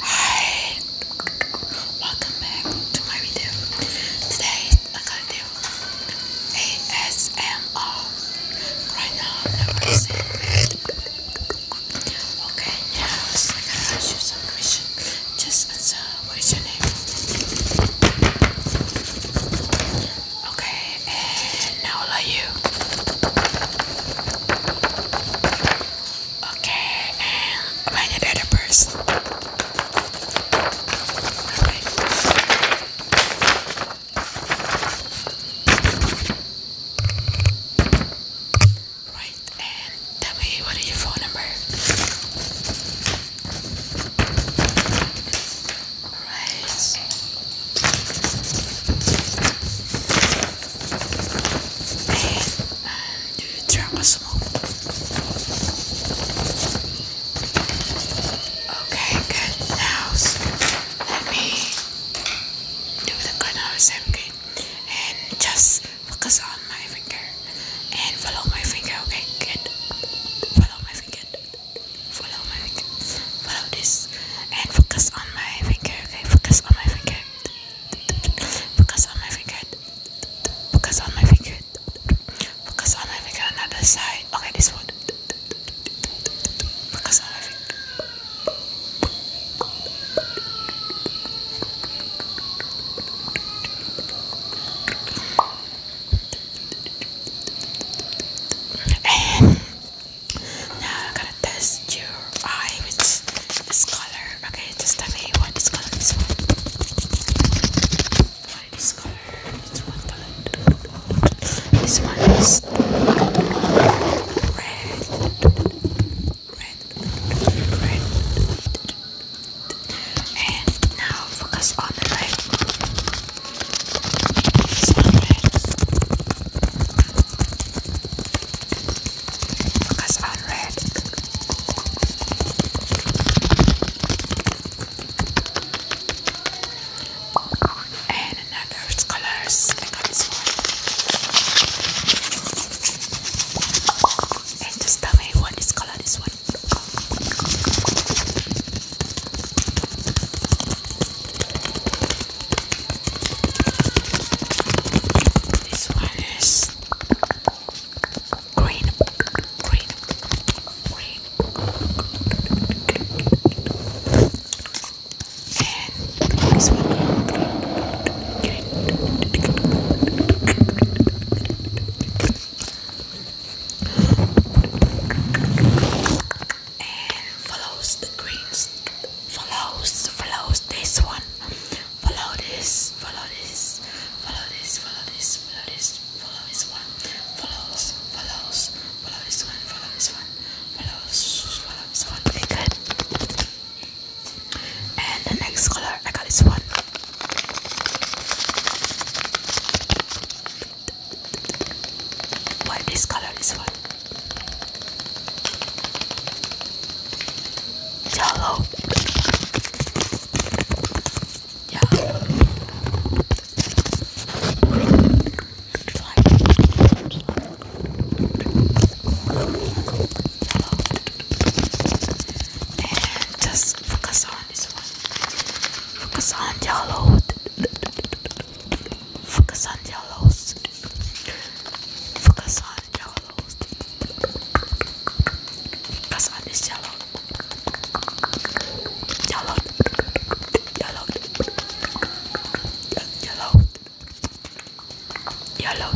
Hi, welcome back to my video. Today I gotta do ASMR. Right now Okay, now so I gotta ask you some questions. Just answer uh, what is your name? Okay, and now i you. Okay, and when you do the right, and tell me what is your phone number? Alright do you drop a smoke? Okay, good. Now let me do the corners, okay? And just focus on my finger and follow my finger, okay? Good. Follow my finger follow my follow this and focus on my finger okay focus on my finger focus on my finger focus on my finger focus on my finger on side okay this one focus on my finger and now I'm gonna test your eye with this color. Okay, just tell me what is color this one. What is color? This one is red. Red. Red. And now focus on the right. Focus on red. And another colors. I got this one. And just tell me what this color this one. This one is green, green, green, and this one green, green and follows the greens follows follows this one follow this follow this follow this follow this follow this follow this one follows follows follow this one follow this one follows follow this one and the next color I got this one why this color is one? Yellow. Yeah. just focus on on this one. Focus on yellow. Focus on yellows. Focus on yellows. Focus on this yellow. Yellow. Yellow. Yellow. Yellow.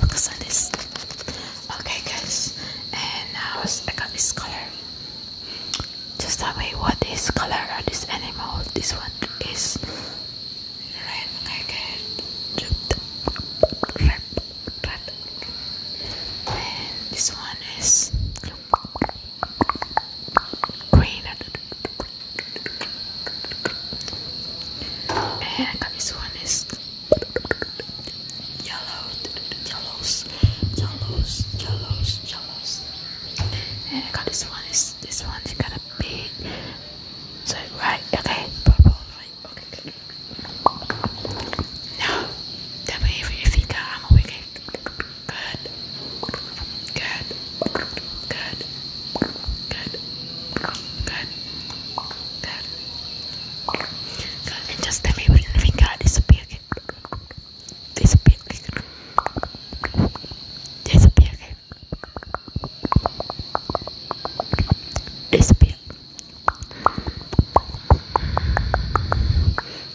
Focus on this. Okay guys, and now I got this color. Just tell me what is color are this animal? This one is red. Okay, good. Red, red. And this one is green. And I got this one is yellow, yellows, yellows, yellows, yellows. And I got this one. Is this one's got a big. So right, okay, purple, right, okay. Good. Now, tell me if you think I'm awake. Good, good, good, good, good. Good. Good. And just let me let me God disappear. Okay? Disappear. Okay? Disappear. Okay? Disappear.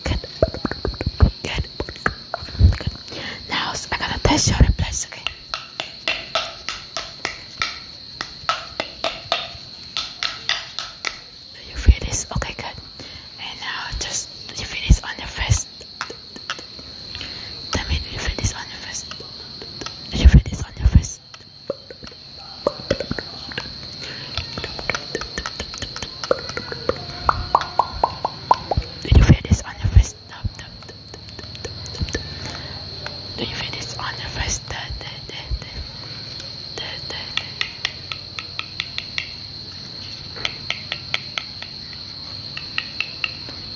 Good. Good. Good. Now I'm gonna test your place, okay? Do you feel this? Okay, good. And now just do you feel this on your face? Tell me, do you feel this on your face? Do you feel this on your face? Did you feel this on your fist? Do you feel this on your face? day, da, da, da. Da, da, da.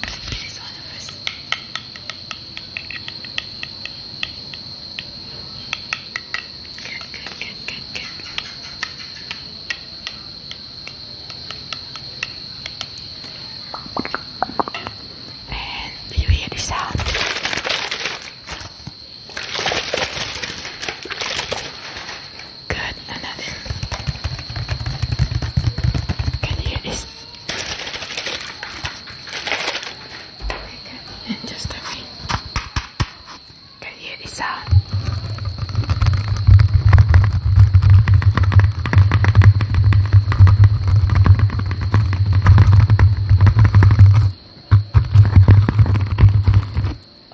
Feel this on your face. day, good, good, good, good. And do you hear the sound? Good, another. Can you hear this? And just a minute. Can you hear the sound?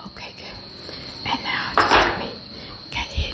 Okay, good. And now just tell me, can you hear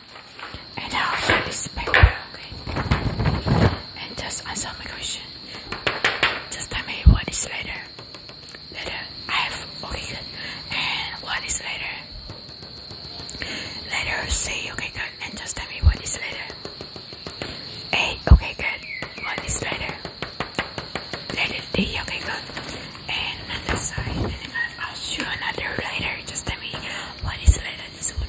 and I'll put this back okay? And just answer my question. Just tell me what is later. Later, I have okay good. And what is later? Later, say okay good, and just tell me what is later. Hey, okay good. What is later? Later D, okay good and another side and then I'll show another letter just tell me what is letter this one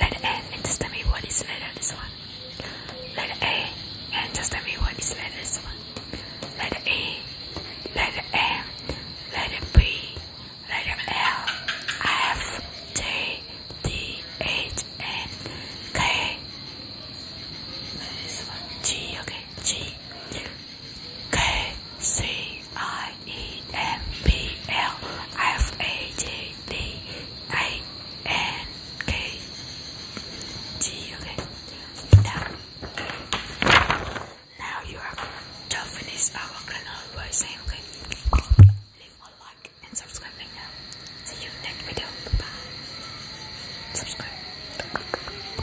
letter A and just tell me what is letter this one letter A and just tell me what is letter this one letter A letter M letter B letter L F J D H N K this one G okay G K C I E M P L F A J D A N K G. Now, now you are going to finish our channel by saying okay. Leave a like and subscribe now. See you next video. Bye. Subscribe.